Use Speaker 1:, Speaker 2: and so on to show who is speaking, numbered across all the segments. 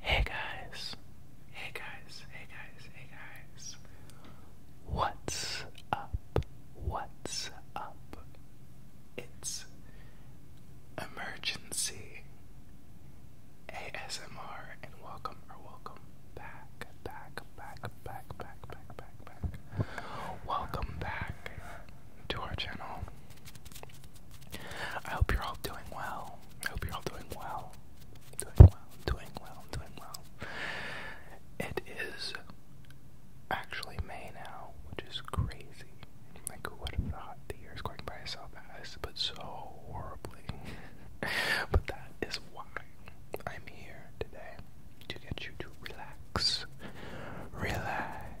Speaker 1: Hey guys, hey guys, hey guys, hey guys. What's up? What's up? It's emergency ASMR and welcome or welcome back, back, back, back, back, back, back, back. Welcome back to our channel. I hope you're all doing well. I hope you're all doing well. Doing well, doing well, doing well. It is actually May now, which is crazy. Like, who would have thought the year's going by so fast, but so horribly? but that is why I'm here today to get you to relax. Relax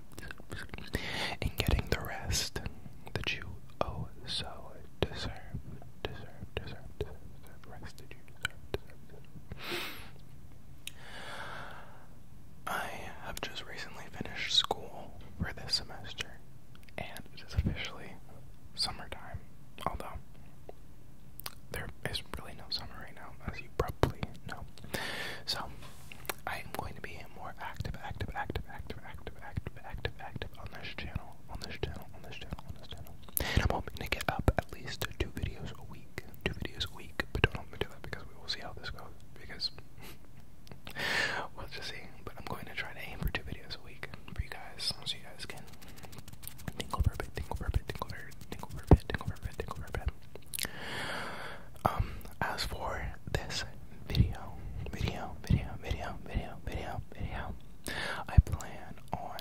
Speaker 1: and getting the rest that you oh so deserve, deserve, deserve, deserve, rest that you deserve, I have just recently finished school for this semester, and it is officially summertime, although there is really no summer right now, as you probably. No. So I am going to be more active, active, active, active, active, active, active, active on this channel, on this channel, on this channel, on this channel. I'm hoping to get up at least two videos a week. Two videos a week, but don't hold me to that because we will see how this goes. Because we'll just see. But I'm going to try to aim for two videos a week for you guys, so you guys can tinkle a bit, tinkle a bit, tinkle a bit, tinkle a bit, tinkle a bit, tinkle a bit. Um, as for this video, video, video, video, video, video, video, I plan on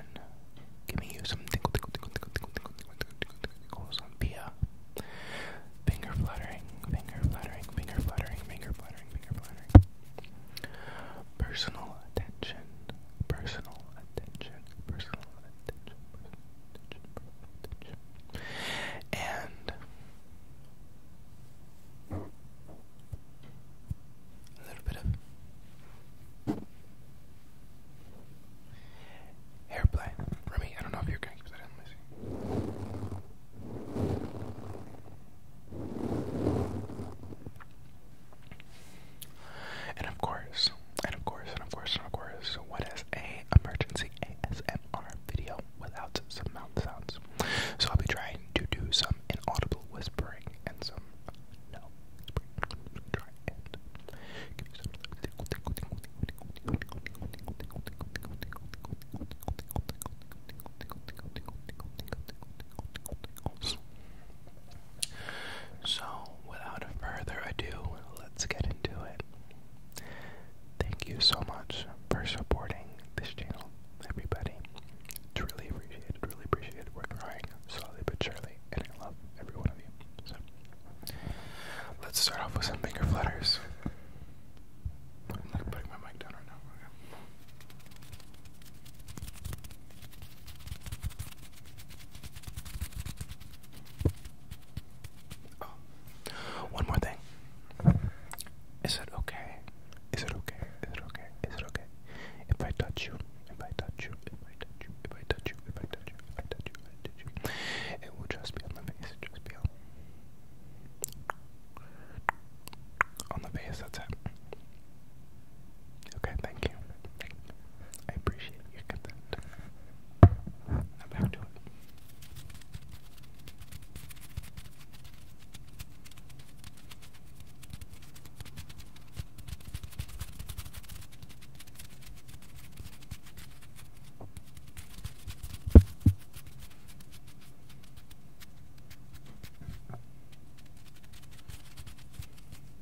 Speaker 1: giving you some tickle, tickle, tickle, tickle, tickle, tickle, tickle, tickle, tickle, tickle, tickle, some via finger fluttering, finger fluttering, finger fluttering, finger fluttering, finger fluttering. Personal attention, personal attention, personal attention, personal and a little bit of airplay. Remy, I don't know if you're going to keep that in. And of course, and of course, and of course, and of course, what is a emergency ASMR video without some mouth sounds? So I'll be trying to do some inaudible whispering and some no. so, without further ado, let's get into it. Thank you so much for supporting this channel, everybody. It's really appreciated, really appreciated. We're growing slowly but surely, and I love every one of you. So, let's start off with some bigger flutters. I'm like putting my mic down right now. Oh, one more thing. Is it okay? Is it okay? Is it okay? Is it okay? If I touch you, if I touch you, if I touch you, if I touch you, if I touch you, if I touch you, if I touch you, if I touch you it will just be on the face. Just be on. On the face, that's it. Okay, thank you. Thank you. I appreciate your consent. Now back to it.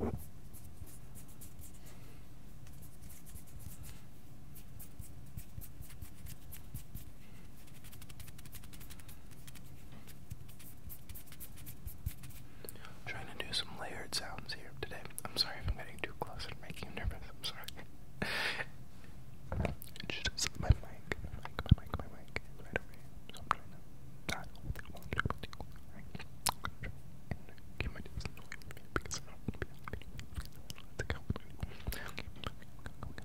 Speaker 1: I'm trying to do some layered sounds here today. I'm sorry if I'm getting too close and making you nervous. I'm sorry. Just my mic, my mic, my mic, my mic is right over here. So I'm trying to not hold it on triple D, right? And keep my distance away from me because I don't want to be on video. Let's go. Okay, go, go, go, go. Okay,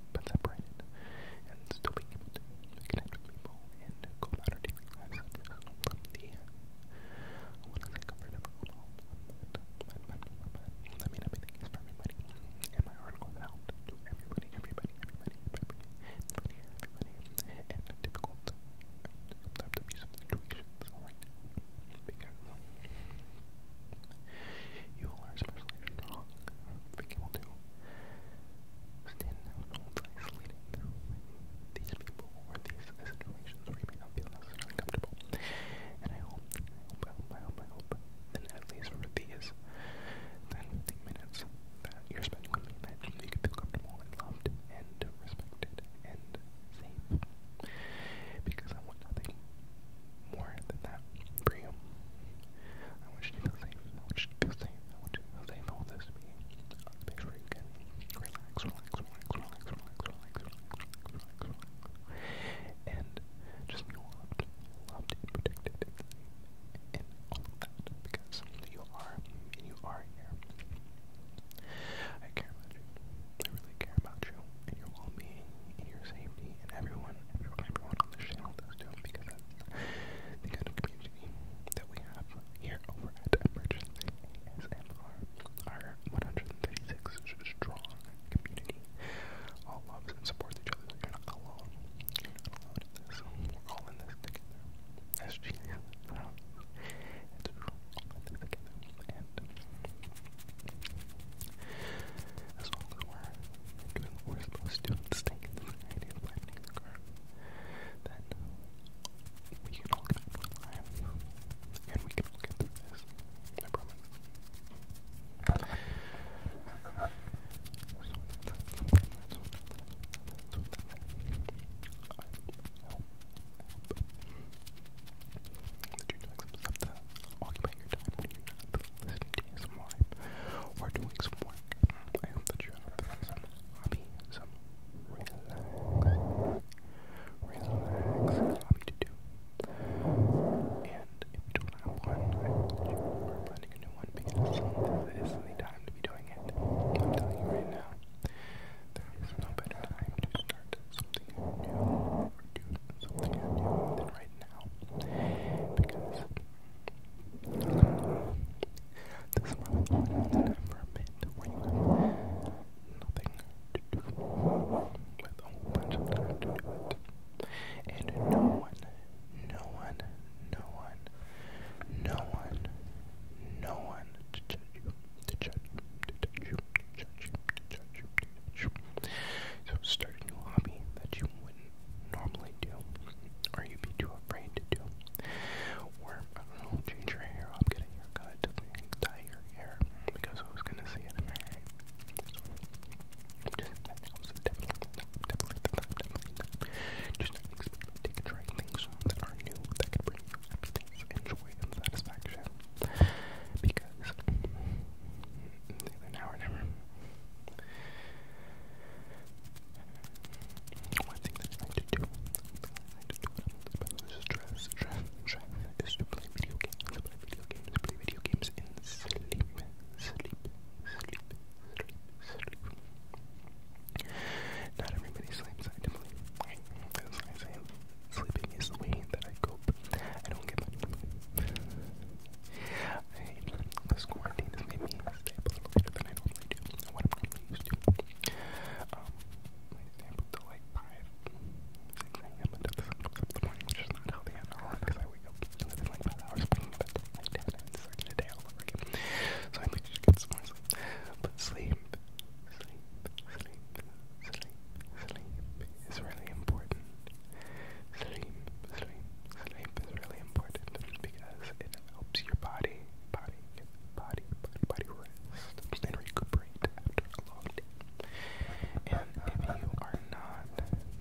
Speaker 1: but separated, and still being able people and go about our from the what is it covered up all I mean everything is for everybody. And my article is out to everybody, everybody, everybody, everybody, everybody, everybody, and the difficult sometimes abusive situations, alright? Because you are especially strong. Being able to stand out almost isolated through these people or these situations where you may not feel necessarily comfortable. And I hope, I hope, I hope, I hope, then at least for these 10 15 minutes that you're spending with me, that you feel comfortable and loved and respected and safe. Because I want nothing more than that for you. I want you to feel safe. I want you to feel safe. I want you to feel safe. I this to be a space where you can relax, relax, relax, relax, relax, relax, relax, relax, relax, and just be loved, loved and protected, and all of that because you are and you are here. I care about you. I really care about you and your well-being and your safety and everyone everyone, on this channel does do because that's the kind of community that we have here over at Emergency ASMR. Our 136 strong community all loves and supports each other. You're not alone. We're all in this together. As Jesus, it's all in this together. As long as we're doing what we're supposed in the idea of flattening then we can all get through life. And we can all get through this. I promise. you we're doing some work. I hope that you're having some hobby, some relaxing, relaxing hobby to do. And if you don't have one, I hope you are finding a new one because this is time to be doing it. I'm telling you right now, there is no better time to start something new or do something right now because This month went on for a bit nothing to do with a bunch of time And no one, no one, no one, no one, no one to judge you, to judge to judge you, so start a new hobby that you wouldn't normally do, or you'd be too afraid to do. Or, I don't know, change your hair i up, get a haircut, dye your hair, because who's gonna see it? So, just, that take a try things that are new, that can bring you happiness and and satisfaction. Because now or One thing that I like to do, I like to do when I'm in stress, stress, stress, is to play video games, to play video games, to play video games in sleep, sleep, sleep, sleep, sleep. Not everybody sleeps, I believe. As I say, sleeping is the way that I cope I don't get much. I, this quarantine has made me a little later than I normally do, what I'm normally used to. Um, I stay up until like 5, 6 a.m. until the comes up in the morning, which is not healthy at all, because I wake up within like 5 hours, but that's like that, and it's So I need to get some more sleep. But sleep, sleep, sleep, sleep, sleep is really important. Sleep, sleep, sleep is really important because it helps your body, body, body, body, rest and recuperate after a long day. And if you are not,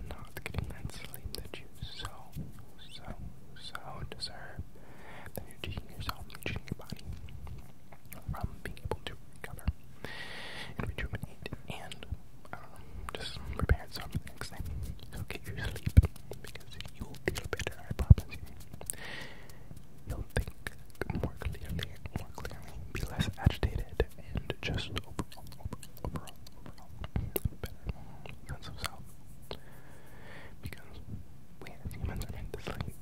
Speaker 1: not getting that sleep that you so, so, so deserve, then you're cheating yourself, you your body from being able to recover rejuvenate and I do just preparing yourself for the next thing. So get your sleep because you will feel better, I promise you. will think more clearly, more clearly, be less agitated, and just overall, overall, overall, better sense of self. Because we humans are meant to sleep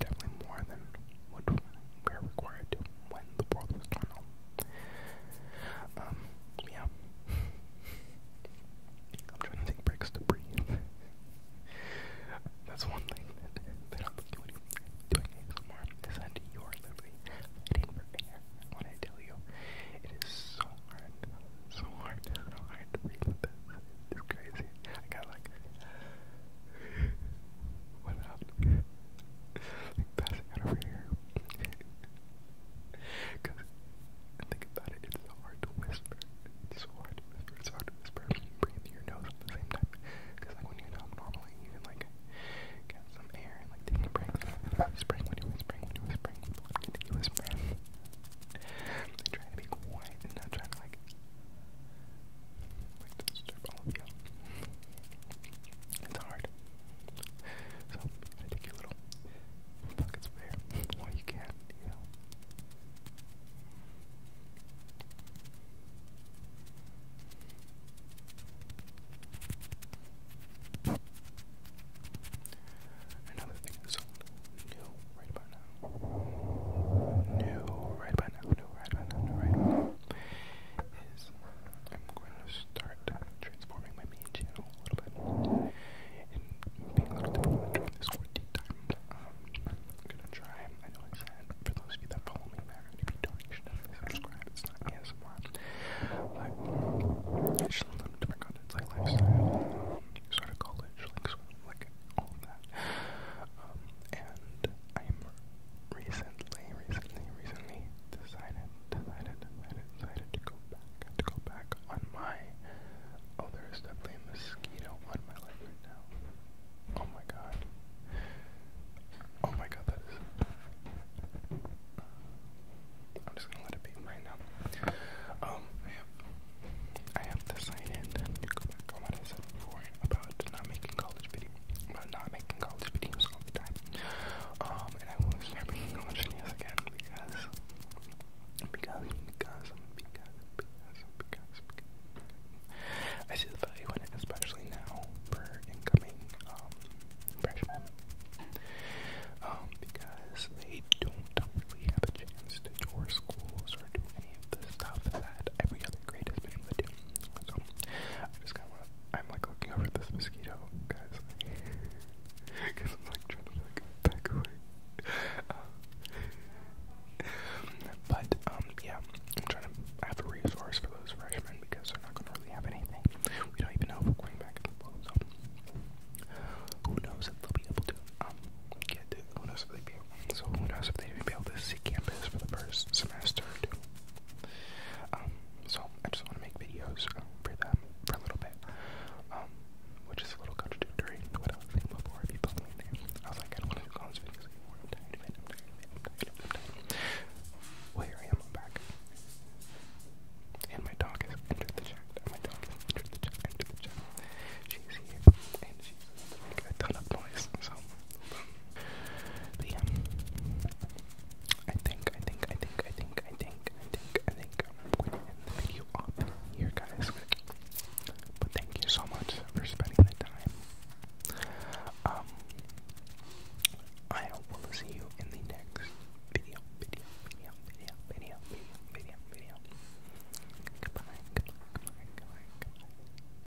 Speaker 1: definitely more than what we're required to when the world was torn up. Um, yeah. I'm trying to take breaks to breathe. That's one thing that, that I'm doing, doing ASMR is that you are literally fighting for air. When I tell you, it is so hard, so hard, so hard to breathe with this. It's crazy. I got like, what happened? like passing out over here. Because think about it, it's so hard to whisper. It's so hard to whisper. It's hard to whisper. You breathe through your nose at the same time. Because like when you talk normally, you can like get some air and like take a break. Whispering when you're when you're you whisper. I'm trying to be quiet and not trying to like it's hard. So i take your little pockets of while you can, Another thing that's new right about now. New right about now, new right about now, new right is I'm going to start transforming my main channel a little bit and being a little different during this quarantine time. Um, I'm going to try, I know I said, for those of you that follow me, I'm going to be doing subscribe, it's not ASMR, but it's just a different content, like lifestyle, um, sort of college, like, like all of that. Um, and I am recently, recently, recently decided, decided, decided, decided to go back, to go back on my, oh there is mosquito on my leg right now. Oh my god. Oh my god, that is, I'm just gonna let it be right now. Um, I have, I have decided to go back on what I said about not making college videos I'm not making college videos all the time. Um, and I want start making college videos again because, because, because, because, because, because, because I see the value in it, especially now for incoming um, freshmen. Um, because they don't really have a chance to tour schools or do any the stuff that every other grade has been do. So I just kind of I'm like looking over this mosquito, guys, because I'm like trying to like back away. Uh, but um, yeah, I'm trying to have a resource for those freshmen because they're not going to really have anything. We don't even know if we're going back in the bowl, so who knows if they'll be able to um get. Who knows so who knows if they even be able to see campus for the first semester um, so I just want to make videos for them for a little bit. Um, which is a little contradictory to what I was thinking before I was like, I don't want to do college videos anymore. Well here I am, back. And my dog has entered the chat. My dog has entered the chat entered the chat. She's here and she making a I think, I think, I think, I think, I think, I think, I think I'm going to end the video off here, guys. But thank you so much for spending the time. Um, I will see you in the next video, video, video, video, video, video, goodbye, goodbye, goodbye, goodbye.